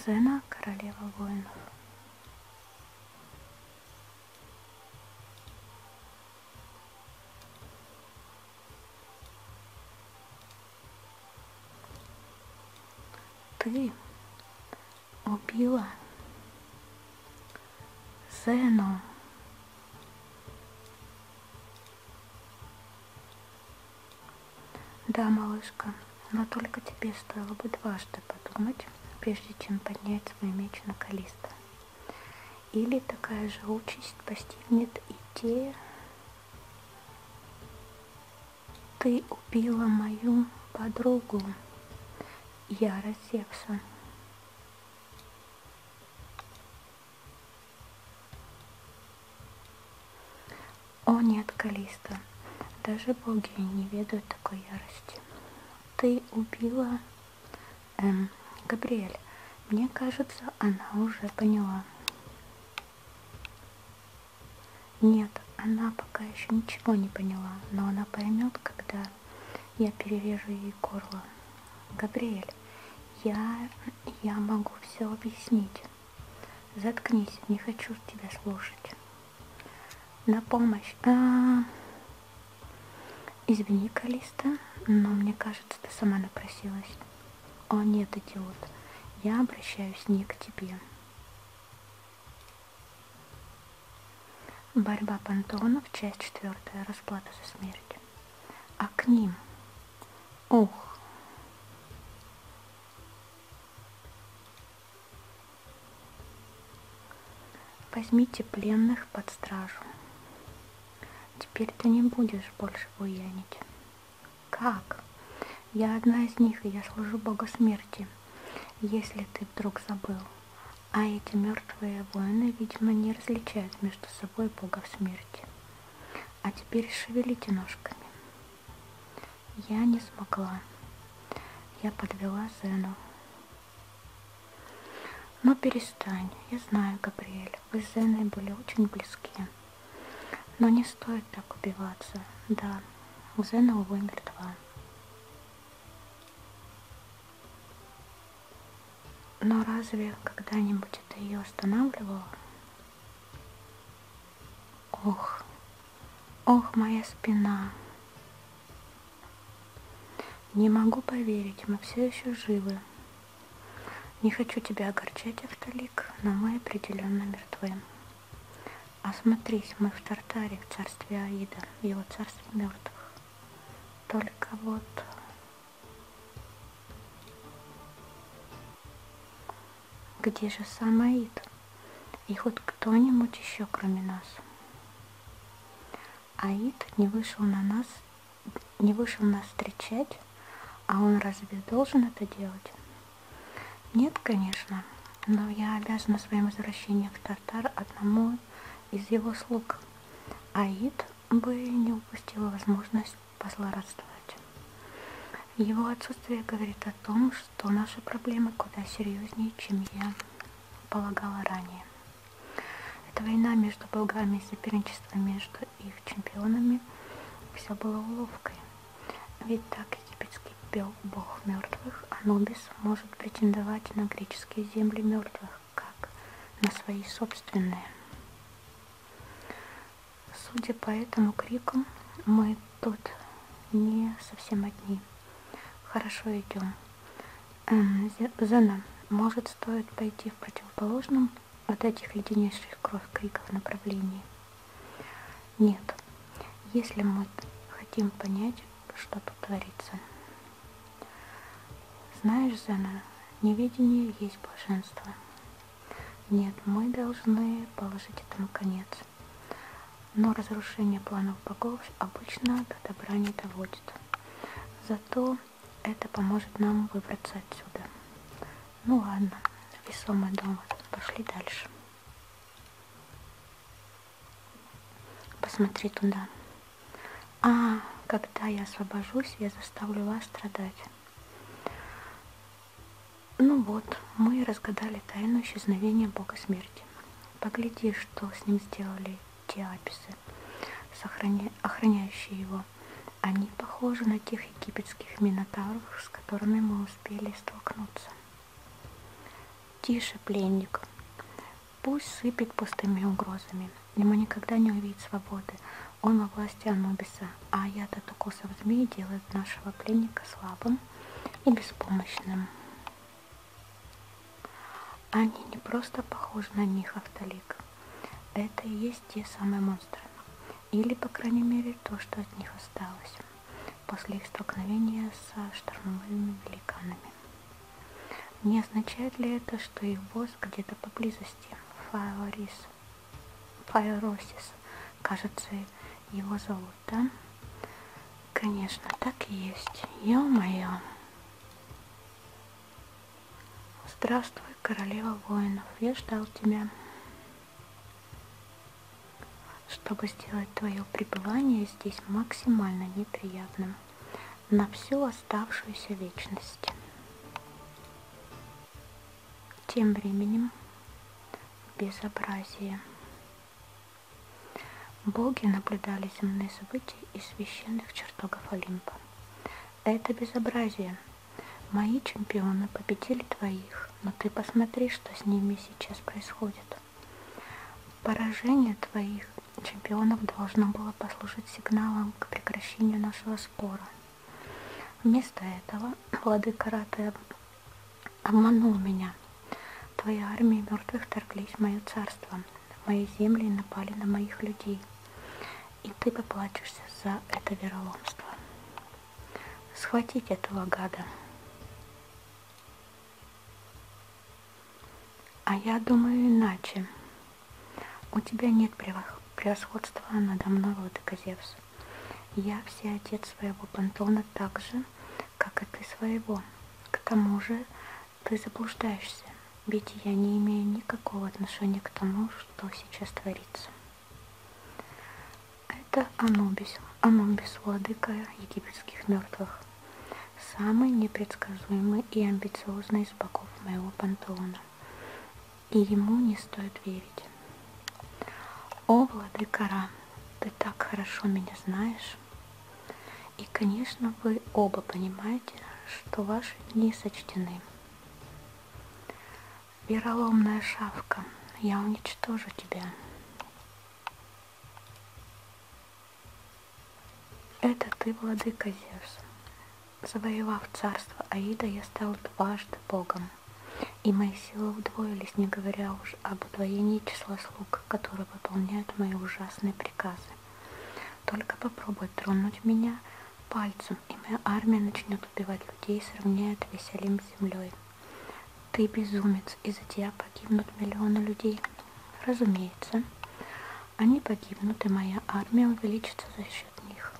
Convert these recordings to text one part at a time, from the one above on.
Зена, королева воинов. Ты убила сину. Да, малышка, но только тебе стоило бы дважды подумать, прежде чем поднять свой меч на Калиста. Или такая же участь постигнет и те... Ты убила мою подругу. Я рассекся. О нет, Калиста, даже боги не ведают такой ярости. Ты убила эм, Габриэль. Мне кажется, она уже поняла. Нет, она пока еще ничего не поняла, но она поймет, когда я перережу ей горло. Габриэль, я, я могу все объяснить. Заткнись, не хочу тебя слушать. На помощь. А -а -а. Извини, Калиста, но мне кажется, ты сама напросилась. О нет, идиот, я обращаюсь не к тебе. Борьба пантеонов, часть четвертая. Расплата за смерть. А к ним. Ух. Возьмите пленных под стражу. Теперь ты не будешь больше буянить. Как? Я одна из них, и я служу Богу смерти, если ты вдруг забыл. А эти мертвые воины, видимо, не различают между собой богов смерти. А теперь шевелите ножками. Я не смогла. Я подвела Зену. Но ну, перестань. Я знаю, Габриэль, вы с Зеной были очень близки. Но не стоит так убиваться. Да, Зена, увы, мертва. Но разве когда-нибудь это ее останавливало? Ох, ох, моя спина. Не могу поверить, мы все еще живы. Не хочу тебя огорчать, Автолик, но мы определенно мертвы. Осмотрись, мы в Тартаре, в царстве Аида, в его царстве мертвых. Только вот где же сам Аид? И хоть кто-нибудь еще, кроме нас. Аид не вышел на нас, не вышел нас встречать, а он разве должен это делать? Нет, конечно, но я обязана своим возвращением в Тартар одному из его слуг. Аид бы не упустила возможность позлорадствовать. Его отсутствие говорит о том, что наши проблемы куда серьезнее, чем я полагала ранее. Это война между болгами и соперничество между их чемпионами все было уловкой. Ведь так египетские пел бог мертвых, Анубис может претендовать на греческие земли мертвых, как на свои собственные. Судя по этому крикам, мы тут не совсем одни. Хорошо идем. Эм, Зена, может, стоит пойти в противоположном от этих леденящих кровь криков направлении? Нет. Если мы хотим понять, что тут творится. Знаешь, Зена, неведение есть блаженство. Нет, мы должны положить этому конец. Но разрушение планов богов обычно до добра не доводит. Зато это поможет нам выбраться отсюда. Ну ладно, весомый довод. Пошли дальше. Посмотри туда. А, когда я освобожусь, я заставлю вас страдать. Ну вот, мы разгадали тайну исчезновения Бога Смерти. Погляди, что с ним сделали те аписы, сохраня... охраняющие его. Они похожи на тех египетских минотавров, с которыми мы успели столкнуться. Тише, пленник. Пусть сыпет пустыми угрозами. Ему никогда не увидеть свободы. Он во власти Анубиса, а яд от укусов змеи делает нашего пленника слабым и беспомощным. Они не просто похожи на них, Автолик. Это и есть те самые монстры. Или, по крайней мере, то, что от них осталось после их столкновения со штормовыми великанами. Не означает ли это, что их босс где-то поблизости, Фаорис, Фаоросис, кажется, его зовут, да? Конечно, так и есть. Ё-моё. Здравствуй, королева воинов. Я ждал тебя чтобы сделать твое пребывание здесь максимально неприятным на всю оставшуюся вечность. Тем временем безобразие. Боги наблюдали земные события из священных чертогов Олимпа. Это безобразие. Мои чемпионы победили твоих но ты посмотри, что с ними сейчас происходит. Поражение твоих чемпионов должно было послужить сигналом к прекращению нашего спора. Вместо этого владыка Раты обманул меня. Твои армии мертвых торглись в мое царство, в мои земли и напали на моих людей. И ты поплачешься за это вероломство схватить этого гада. А я думаю иначе. У тебя нет превосходства надо мной, владыка Зевс. Я все отец своего пантона так же, как и ты своего. К тому же ты заблуждаешься, ведь я не имею никакого отношения к тому, что сейчас творится. Это Анубис, Анубис, владыка египетских мертвых. Самый непредсказуемый и амбициозный из богов моего пантеона. И ему не стоит верить. О, владыка Ра, ты так хорошо меня знаешь. И, конечно, вы оба понимаете, что ваши дни сочтены. Вероломная шавка, я уничтожу тебя. Это ты, владыка Зевс. Завоевав царство Аида, я стал дважды богом, и мои силы удвоились, не говоря уж об удвоении числа слуг, которые выполняют мои ужасные приказы. Только попробуй тронуть меня пальцем, и моя армия начнет убивать людей и сравняет весь Олимп с землей. Ты безумец, из-за тебя погибнут миллионы людей. Разумеется, они погибнут, и моя армия увеличится за счет них.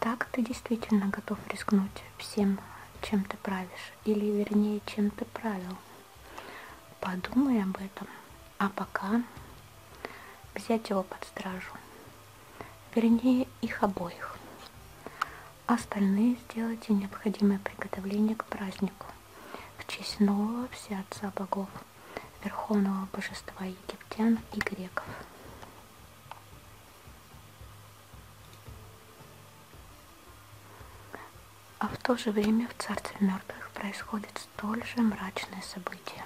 Так ты действительно готов рискнуть всем, чем ты правишь, или вернее, чем ты правил. Подумай об этом, а пока взять его под стражу вернее их обоих. А остальные сделайте необходимое приготовление к празднику в честь нового всеотца богов, верховного божества египтян и греков. А в то же время в Царстве мертвых происходят столь же мрачные события.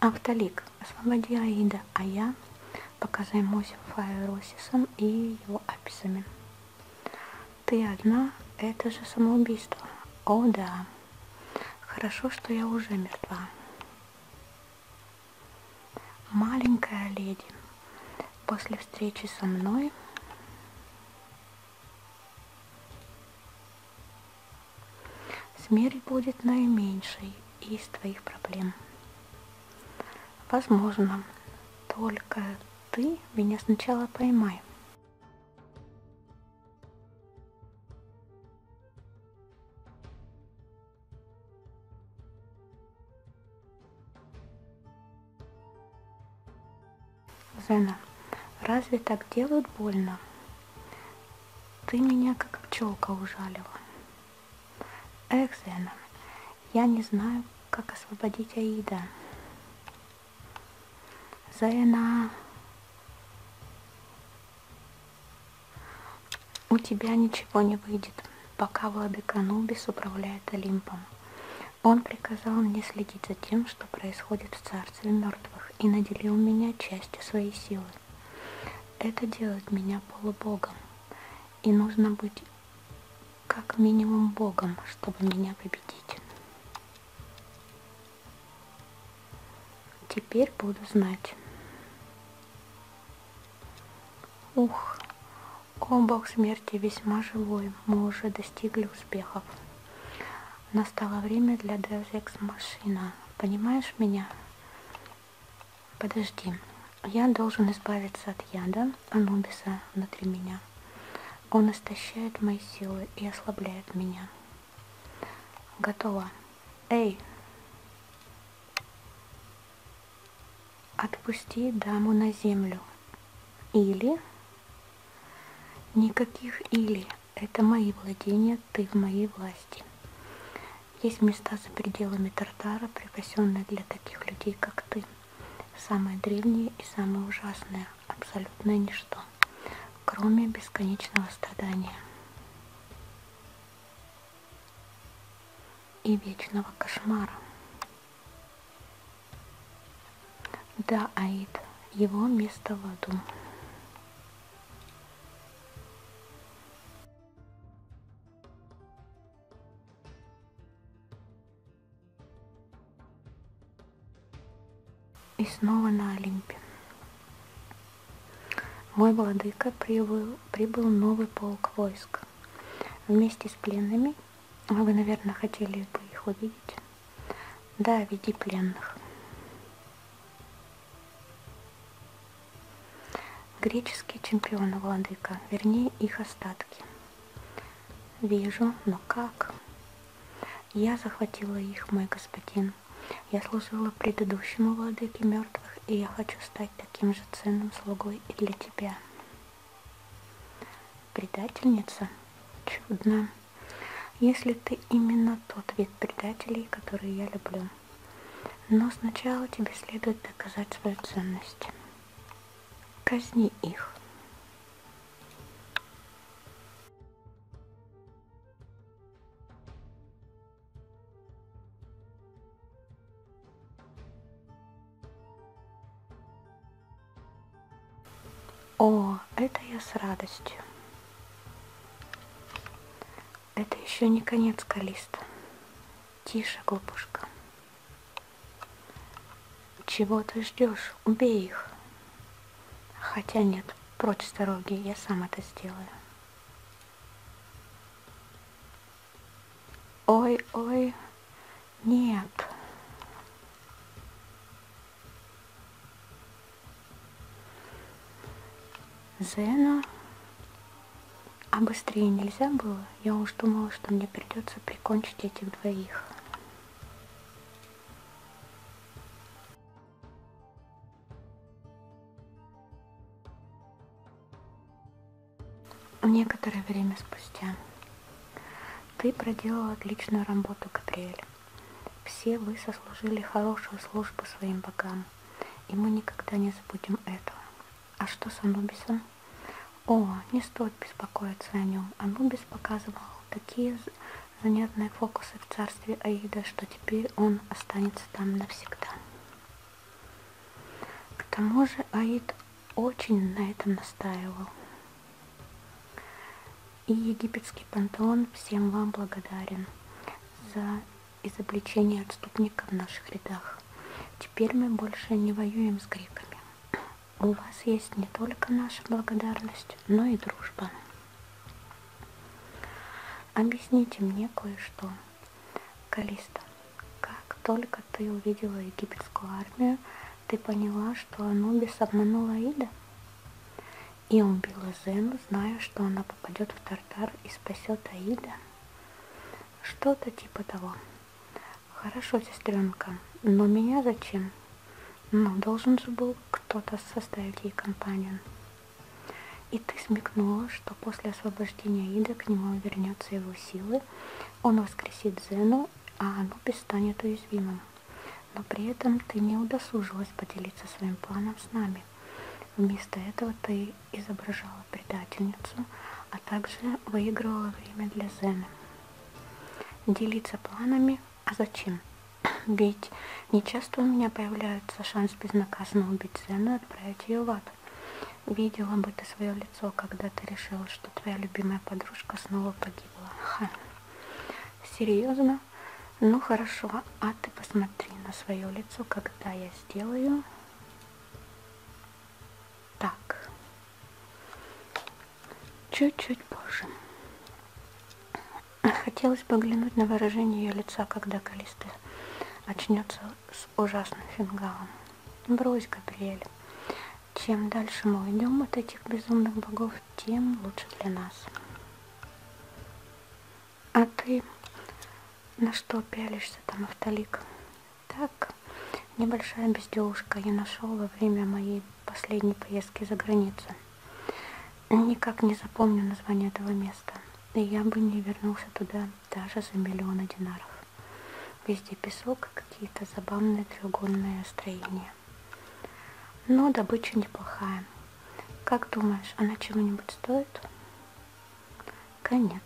Автолик, освободи Аида, а я пока займусь Фаеросисом и его аписами. Ты одна, это же самоубийство. О да, хорошо, что я уже мертва. Маленькая леди, после встречи со мной Смерть будет наименьшей из твоих проблем. Возможно, только ты меня сначала поймай. Зена, разве так делают больно? Ты меня как пчелка ужалила. Эх, Зена, я не знаю, как освободить Аида. Зена, у тебя ничего не выйдет, пока владыка Нубис управляет Олимпом. Он приказал мне следить за тем, что происходит в царстве мертвых ангелов и наделил меня частью своей силы. Это делает меня полубогом, и нужно быть как минимум богом, чтобы меня победить. Теперь буду знать. Ух, о бог смерти весьма живой, мы уже достигли успехов. Настало время для Deus Ex Машина. Понимаешь меня? Подожди. Я должен избавиться от яда Анубиса внутри меня. Он истощает мои силы и ослабляет меня. Готово. Эй! Отпусти даму на землю. Или... Никаких или. Это мои владения, ты в моей власти. Есть места за пределами Тартара, припасенные для таких людей, как ты. Самое древнее и самое ужасное, абсолютное ничто, кроме бесконечного страдания и вечного кошмара. Да, Аид, его место в аду. И снова на Олимпе. Мой владыка прибыл, прибыл новый полк войск. Вместе с пленными, вы, наверное, хотели бы их увидеть, да, веди пленных. Греческие чемпионы, владыка, вернее их остатки. Вижу, но как? Я захватила их, мой господин. Я служила предыдущему владыке мертвых, и я хочу стать таким же ценным слугой и для тебя. Предательница? Чудно если ты именно тот вид предателей, который я люблю. Но сначала тебе следует доказать свою ценность. Казни их. О, это я с радостью. Это еще не конец Калиста. Тише, глупушка. Чего ты ждешь? Убей их. Хотя нет, прочь с дороги, я сам это сделаю. Ой-ой, нет. Зена. А быстрее нельзя было? Я уж думала, что мне придется прикончить этих двоих. Некоторое время спустя. Ты проделал отличную работу, Габриэль. Все вы сослужили хорошую службу своим богам, и мы никогда не забудем этого. А что с Анубисом? О, не стоит беспокоиться о нем. Анубис показывал такие занятные фокусы в царстве Аида, что теперь он останется там навсегда. К тому же Аид очень на этом настаивал. И египетский пантеон всем вам благодарен за изобличение отступника в наших рядах. Теперь мы больше не воюем с греками. У вас есть не только наша благодарность, но и дружба. Объясните мне кое-что. Калиста, как только как ты увидела египетскую армию, ты поняла, что Анубис обманула Ида и убила Зену, зная, что она попадет в Тартар и спасет Аида. Что-то типа того. Хорошо, сестренка, но меня зачем? Ну, должен же был кто-то составить ей компанию. И ты смекнула, что после освобождения Ида к нему вернется его силы, он воскресит Зену а оно перестанет уязвимым. Но при этом ты не удосужилась поделиться своим планом с нами. Вместо этого ты изображала предательницу, а также выигрывала время для Зена. Делиться планами? А зачем? Ведь нечасто у меня появляется шанс безнаказанно убить Зену и отправить ее в ад. Видела бы ты свое лицо, когда ты решила, что твоя любимая подружка снова погибла. Ха. Серьезно? Ну хорошо, а ты посмотри на свое лицо, когда я сделаю так. Чуть-чуть позже. Хотелось бы глянуть на выражение ее лица, когда Калиста очнется с ужасным фингалом. Брось, Габриэль. Чем дальше мы уйдем от этих безумных богов, тем лучше для нас. А ты на что пялишься там, Автолик? Так, небольшая безделушка я нашел во время моей последней поездки за границу. Никак не запомню название этого места. И я бы не вернулся туда даже за миллионы динаров. Везде песок и какие-то забавные треугольные строения. Но добыча неплохая. Как думаешь, она чего-нибудь стоит? Конец.